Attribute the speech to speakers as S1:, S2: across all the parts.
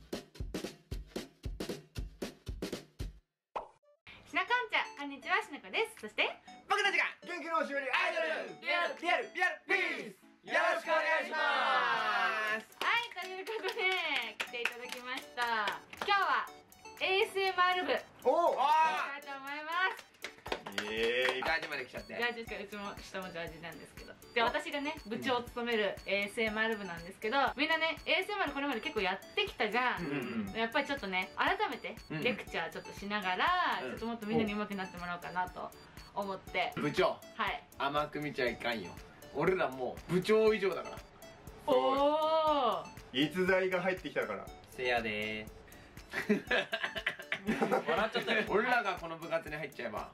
S1: しなかんちゃこんにちはしなこですそして僕たちが元気のおしぼりアイドルよろしくお願いしますはいということで来ていただきました今日は ASMR 部おおしたいと思いますええー、ジャまで来ちゃってジャージでかうちも下もジャージなんですけどで、私がね、部長を務める ASMR 部なんですけど、みんなね、ASMR これまで結構やってきたが。やっぱりちょっとね、改めて、レクチャーちょっとしながら、ちょっともっとみんなに上手くなってもらおうかなと思って。部長はい。甘く見ちゃいかんよ。俺らもう部長以上だから。おお逸材が入ってきたから。せやでー。笑っちゃったよ 俺らがこの部活に入っちゃえば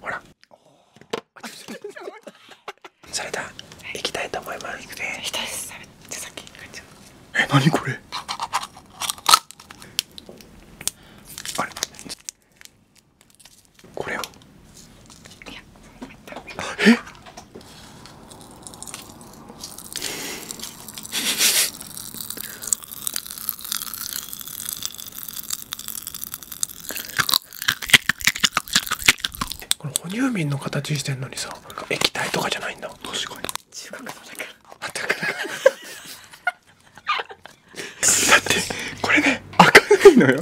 S1: ほらそれだ。行きたいと思います行きたいですじゃあさっきえ何これあれこれをえこの哺乳瓶の形してんのにさ液体とかじゃないんだ確かに中国の中あったかだってこれね開いのよ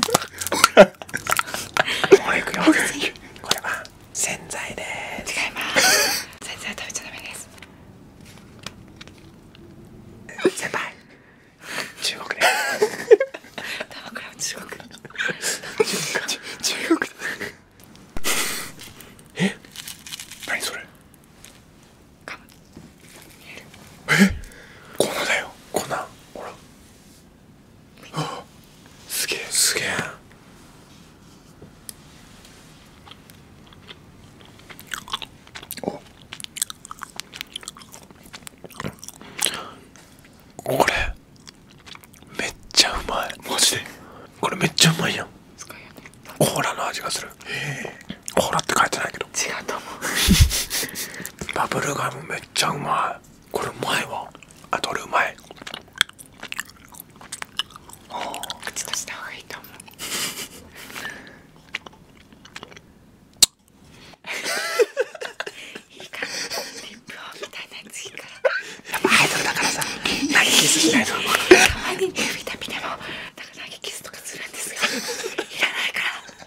S1: これは洗剤で違います洗剤食べちゃダメです先輩中国でタバクラはえっ。それえだよ粉ほらすげえすげえおこれめっちゃうまいマジでこれめっちゃうまいやんコーラの味がするコーラって書いてないけど違うと思うバブルガムめっちゃうまいこれうまいわあと俺うまい口出した方がいいと思ういいかリップをみたいなやついいからやっぱアイドルだからさ投げキスしないとたまに見た見てもなんか投げキスとかするんですがいらないか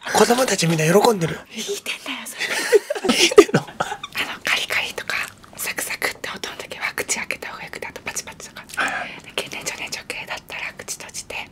S1: ら子供たちみんな喜んでるよいてんだよそれいい点のあのカリカリとかサクサクって音の時は口開けた方がよくだとパチパチとか、はんはい、で年ちょけいだったら口閉じて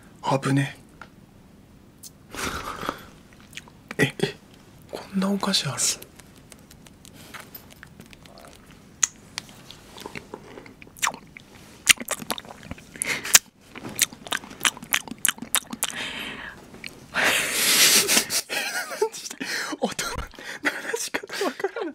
S1: 危ねええこんなお菓子ある音 っ鳴らし方わからない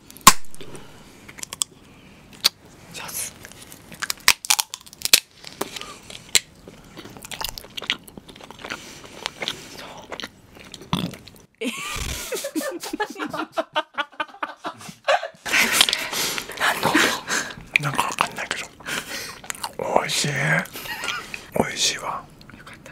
S1: 上手そうえ なんかわかんないけど美味しい美味しいわよかった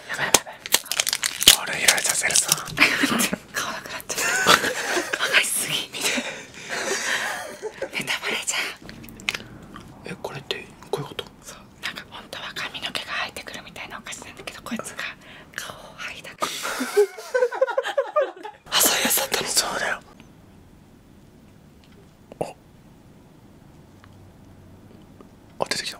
S1: やばいやいちゃうてネタえこれってこういうことなんか本当は髪の毛が生えてくるみたいなお菓子なんだけどこいつが顔を剥いだあそうやっそうだあ出てきた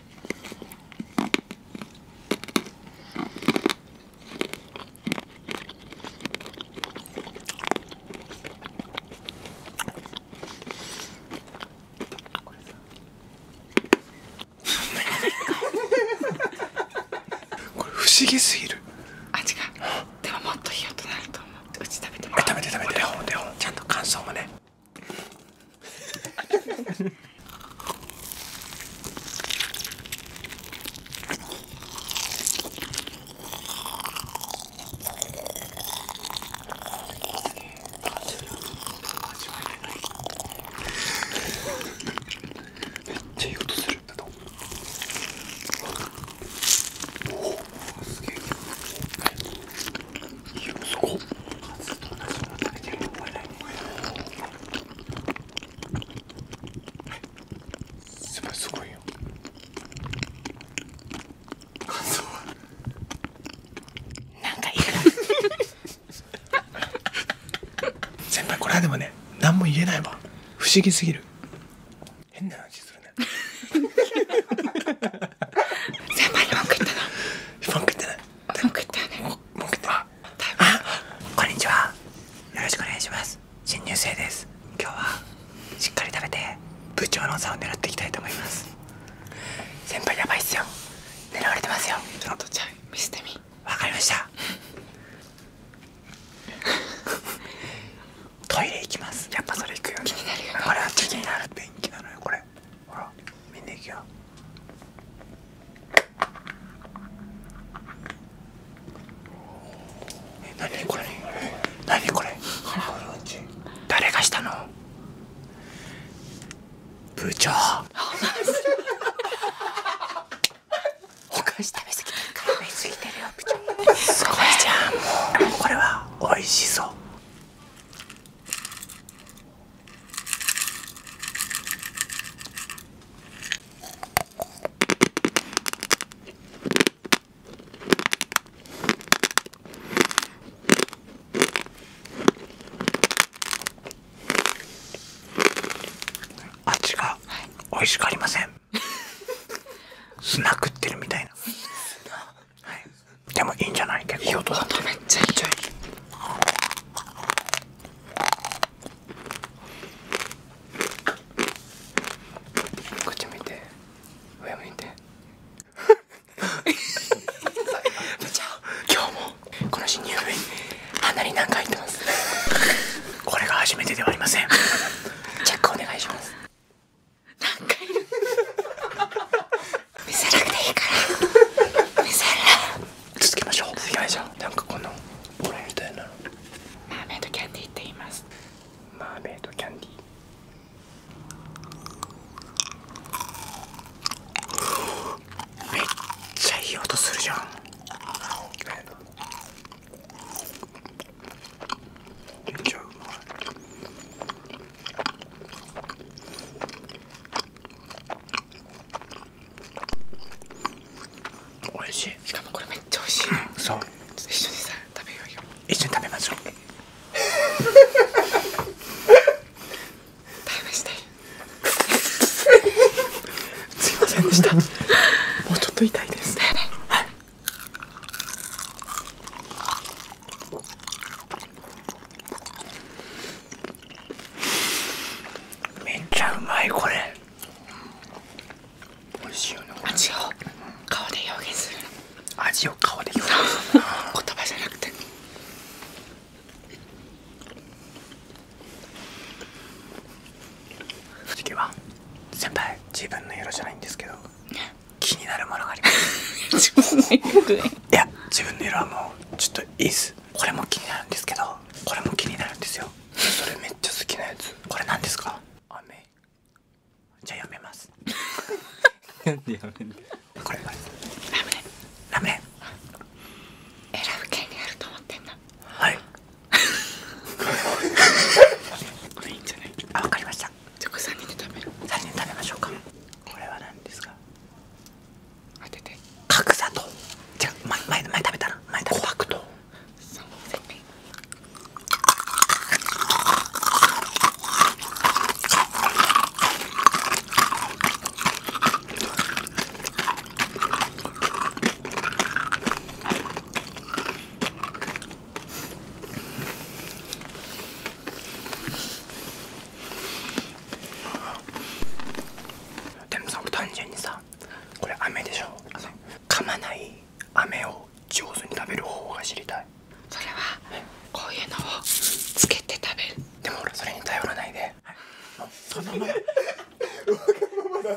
S1: これ不思議すぎる味がでももっといい音になると思ううち食べてもらう食べて食べてちゃんと感想もねめすげえそこ、すごっすてる。ごいすごいよ感想はなんかいい先輩これはでもね何も言えないわ不思議すぎる変な話するね先輩に文句言ったな文句言ってな文句言ったよね文句言ってあこんにちはよろしくお願いします新入生です今日はしっかり食べて部長の座を狙っていきたいと思います先輩やばいっすよ狙われてますよちょっとじゃあ見せてみわかりました トイレ行きますやっぱそれ行くよね気になるよこれはなのよこれほら見に行きやえ何これ何これ誰がしたの部長お菓子食べ過ぎてから食いすぎてるよ部長すごいじゃんもうこれは美味しそう味が美味しくありません スナックってるみたいな はい、でもいいんじゃないけど、いい音だっためっちゃいいこっち向いて上向いて部長今日もこの新入部員なに何回入ってますこれが初めてではありませんチェックお願いします何回。見せなくていいから見せる続けましょう続きましょうなんかこのボみたいなマーメイドキャンディーって言いますマーメイドキャンディーめっちゃいい音するじゃんめっちゃうまい美味しいしかもこれめっちゃ美味しい、うん、そう一緒にさ食べようよ一緒に食べましょう食べましたすいませんでしたもうちょっと痛いですねはいめっちゃうまいこれ味し味を顔で表現する味を顔で表現する言葉じゃなくて先輩自分の色じゃないんですけど気になるものがあります 自分の色いや自分の色はもちょっといいこれも気になるんですけどこれも気になるんですよそれめっちゃ好きなやつこれ何ですか雨じゃあやめますやめ選ぶ権利あると思ってんだはいこれいいんじゃないあ、わかりましたじゃ人で食べる3人食べましょうかこれは何ですか当てて角砂糖じゃ、前前前食べたな前食べた琥珀糖そう正解でもさ単純にさこれ飴でしょ噛まない飴を上手に食べる方法が知りたいそれはこういうのをつけて食べるでも俺それに頼らないでそのまま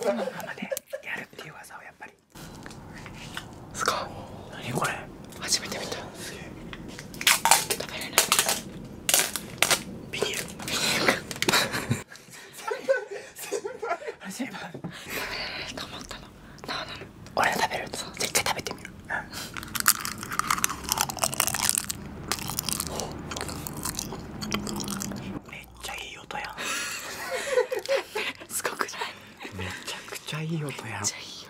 S1: そのままでやるっていう技をやっぱりすごい何これ初めて見たビニールビニールかあれ全部食べれなったの俺食べるそう絶対食べてみるめっちゃいい音やすごくないめちゃくちゃいい音やめっちゃいいよ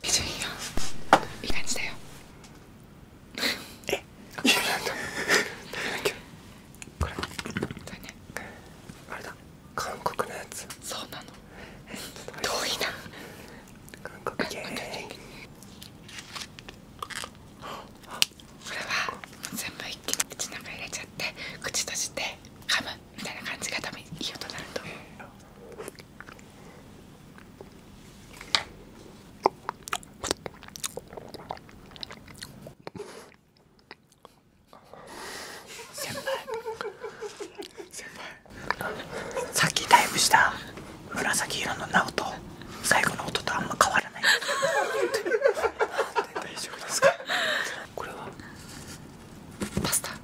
S1: めっよいい感じだよこれ韓国のやつそうなの遠いなこれは全部一気に口の中入れちゃって口閉じて噛むみたいな感じが多分いい音になると思う先輩先輩さっきダイブした紫色のナオト。最後の音とあんま変わらない大丈夫ですかこれはパスタ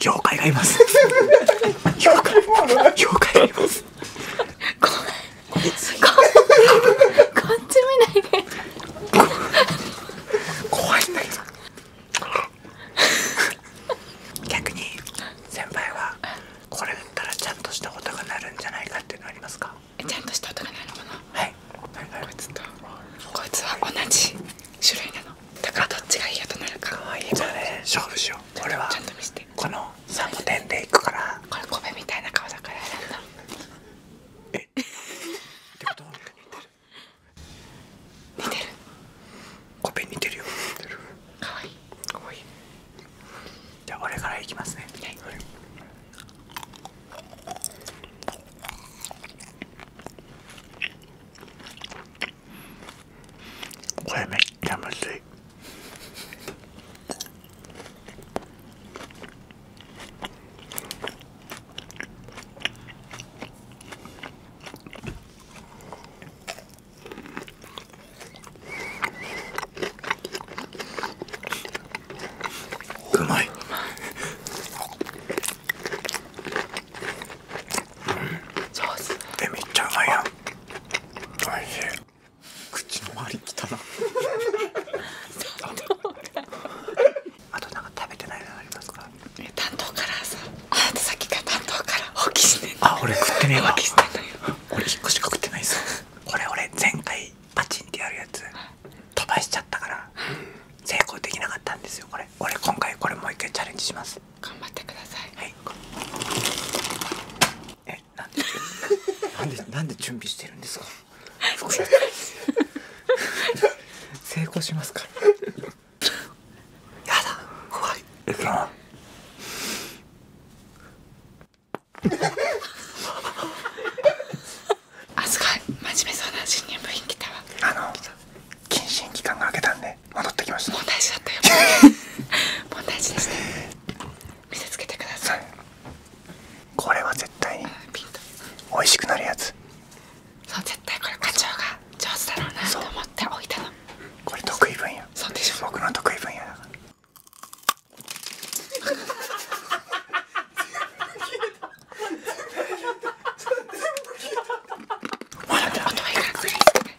S1: 妖怪がいます妖怪がいます逆に先輩はこれ打ったらちゃんとした音が鳴るんじゃないかっていうのありますかちゃんとした音が鳴るものはこいつは同じ種類なのだからどっちがいいやとなるかいいかね勝負しよう俺はこの3点でいくからこれ米みたいな顔だから選んだえってことは似てる似てる米似てるよ似てるかわいいかいじゃあ俺からいきますねはいこれめっちゃむずい上手えめっちゃうまいやん口の周りきたなあとなんか食べてないのありますか担当からさあさっきから担当からあ俺食ってねえわ放棄してんし食ってないぞこれ俺前回パチンってやるやつ飛ばしちゃったから成功できなかったんですよこれ俺今回これもう一回チャレンジします頑張ってくださいはいえなんで なんでなんで準備してるんですか成功しますかやだ怖いあすご真面目そうな新入部員来たわあの謹慎期間が明けたんではい戻ってきました問題児だったよ問題児でした見せつけてください、はい、これは絶対に美味しくなるやつそう絶対これ課長が上手だろうなと思って置いたのこれ得意分野そうでしょ僕の得意分野だからまだ 音はいいからくらいですかね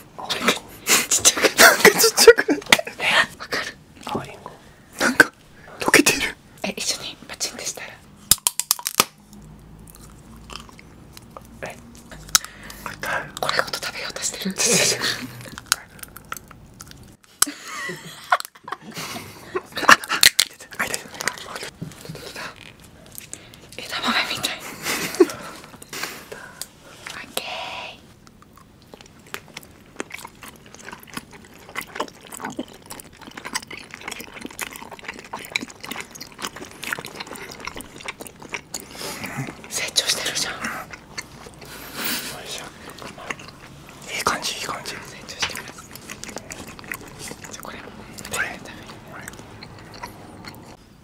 S1: ちっちゃくなちっちゃくなてるわかる青なんか溶けてるえ一緒にパチンでしたらえこれごと食べようとしてる っ豆みたい 成長してるじゃん。よいしょ。いい感じいい感じ。成長してます。じゃこれも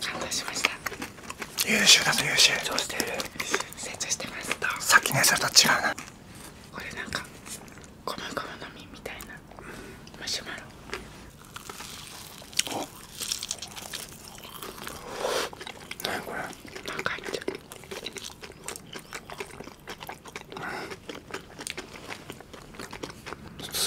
S1: 感動し優秀だと優秀成長してすさっきねそれと違うなこれなんかゴムゴムの実みたいなマシュマロお何これなんか入っちゃん、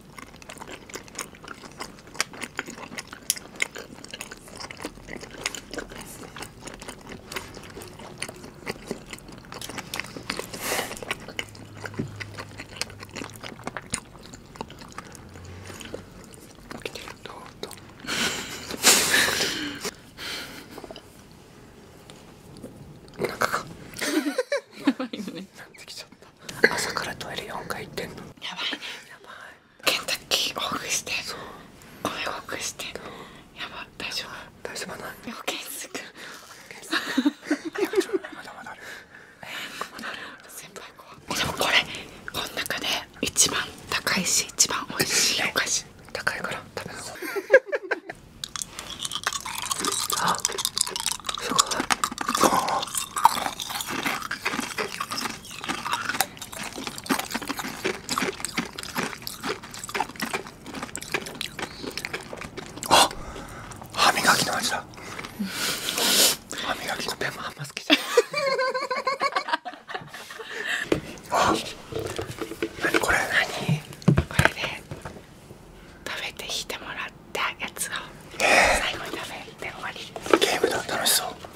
S1: どうどうなんかやばいよねなってきちゃった朝からトイレ4回行ってんのやばいねやばいケンタッキーオフして米オフしてやば大丈夫大丈夫なのケンス君まだまだある先輩怖でもこれこの中で一番高いし一番美味しい高いから食べなあすごいあ歯磨きの味だ歯磨きであんまないこれ何食べて引てもらったやつを、えー、ゲームだ楽しそう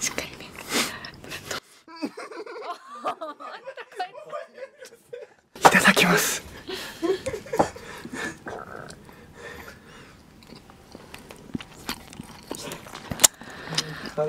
S1: しっかりねいただきますはい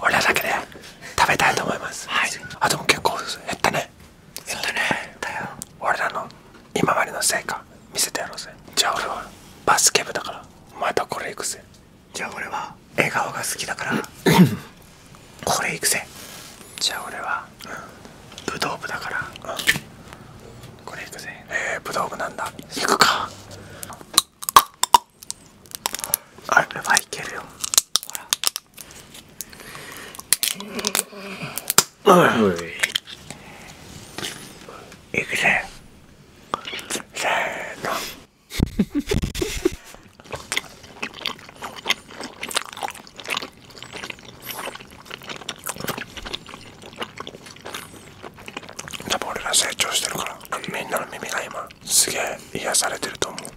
S1: 俺だけで食べたいと思います、あでも結構減ったね減ったね俺らの今までの成果見せてやろうぜじゃあ俺はバスケ部だからまたこれ行くぜじゃあ俺は笑顔が好きだから これ行くぜじゃあ俺は、うん、武道部だから、これ行くぜえー、武道部なんだ行くかあれはいけるよほらうんいくぜせーの多分俺ら成長してるからみんなの耳が今すげえ癒されてると思う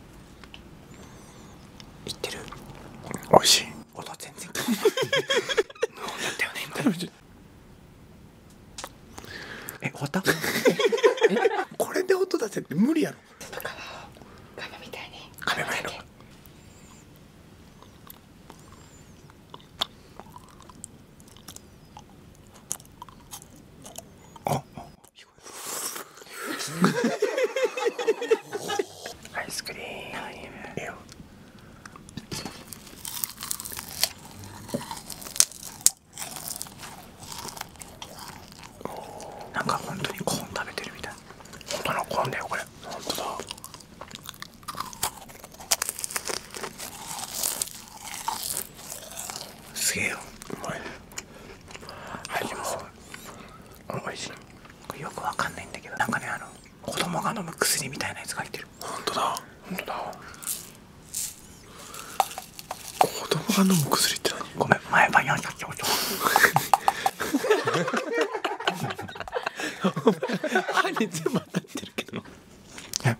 S1: いってる美味しい音全然変わ 無音だったよね今え終わった これで音出せって無理やろ外側を亀みたいに亀みたあっアイスクリームよなんか本当にコーン食べてるみたい本当のコーンだよこれ本当だすげえようい味も美味しいよくわかんないんだけどなんかねあの子供が飲む薬みたいなやつが入ってるほんとだほんとだ子供が飲む薬って何ごめん前歯やんちゃってこと歯に全部当ってるけど何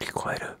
S1: 聞こえる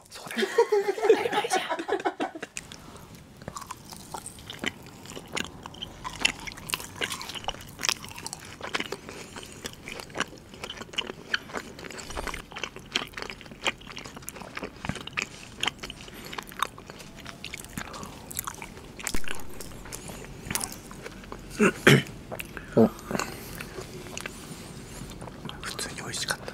S1: そう普通に美味しかった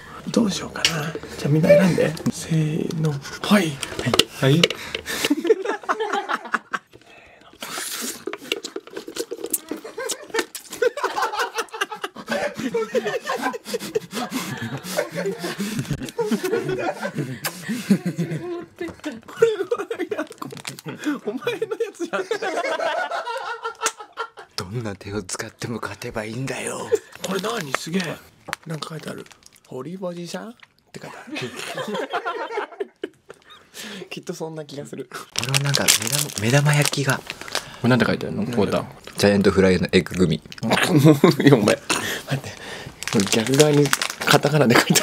S1: どうしようかなじゃあみんな選んでせーのはいはい、はい お前のやつじゃんどんな手を使やも勝てばいいんだよこれ何すげえなんか書いてある堀ぼじさっきっとそんな気がする俺はなんか目玉焼きがこれなんて書いてあるのコーダジャイアントフライエッググミお前待っ逆側にカタカナで書いて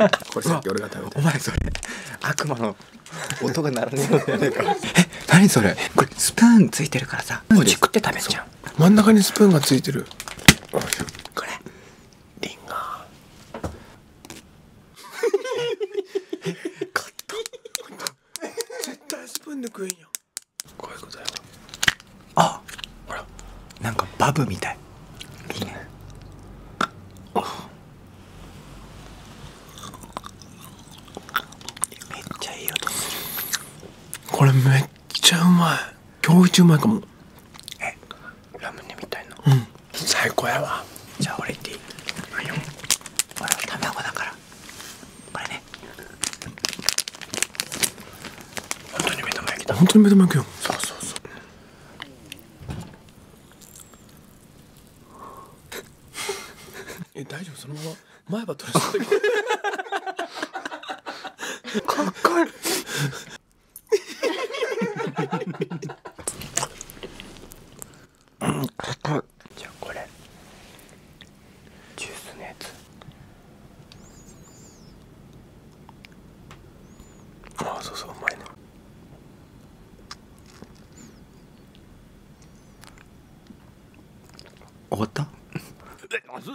S1: あるこれさっき俺が食べたお前それ悪魔の音が鳴らねえのじ何それこれスプーンついてるからささう真ん中にスプーンがついてるこれリンゴ絶対スプーンで食えんやこういうことやあほらなんかバブみたいいいねめっちゃいい音するこれめっちゃうまい今日一うまいかもえラムネみたいなうん最高やわじゃあ俺いっていいはいよほら卵だからこれね本当に目玉焼きだ本当に目玉焼きよそうそうそうえ大丈夫そのまま前は取らしてかっこいいうんかっこいいじゃあこれジュースのやつああそうそううまいね終わった a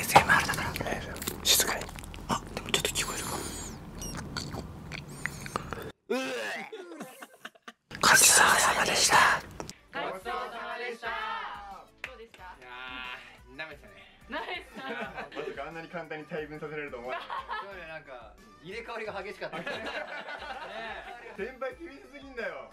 S1: s 静かにあでもちょっと聞こえるかごちそでしたごちそうでしたどうでしたいやーめたね舐めたまさあんなに簡単に大分させれると思わそうねなんか入れ替わりが激しかったね 先輩厳しすぎんだよ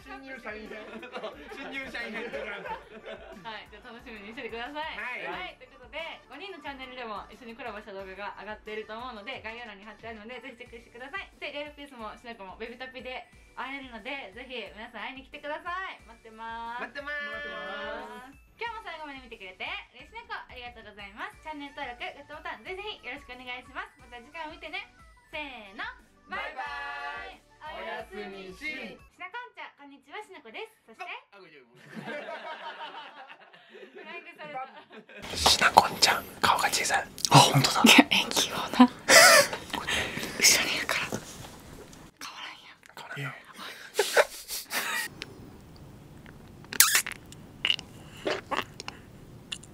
S1: 新入社員編新入社員編はいじゃあ楽しみにしててください、はい、ということで5人のチャンネルでも一緒にコラボした動画が上がっていると思うので概要欄に貼ってあるのでぜひチェックしてくださいでレールピースもしなくもベビタピで会えるのでぜひ皆さん会いに来てください待ってます待ってます今日も最後まで見てくれて嬉しなこありがとうございますチャンネル登録グッドボタンぜひよろしくお願いしますまた次回も見てねせーのバイバイおやすみしなかんちゃんこんにちはしなこですそしてあごめんしあ本当だかわらんや変わらんや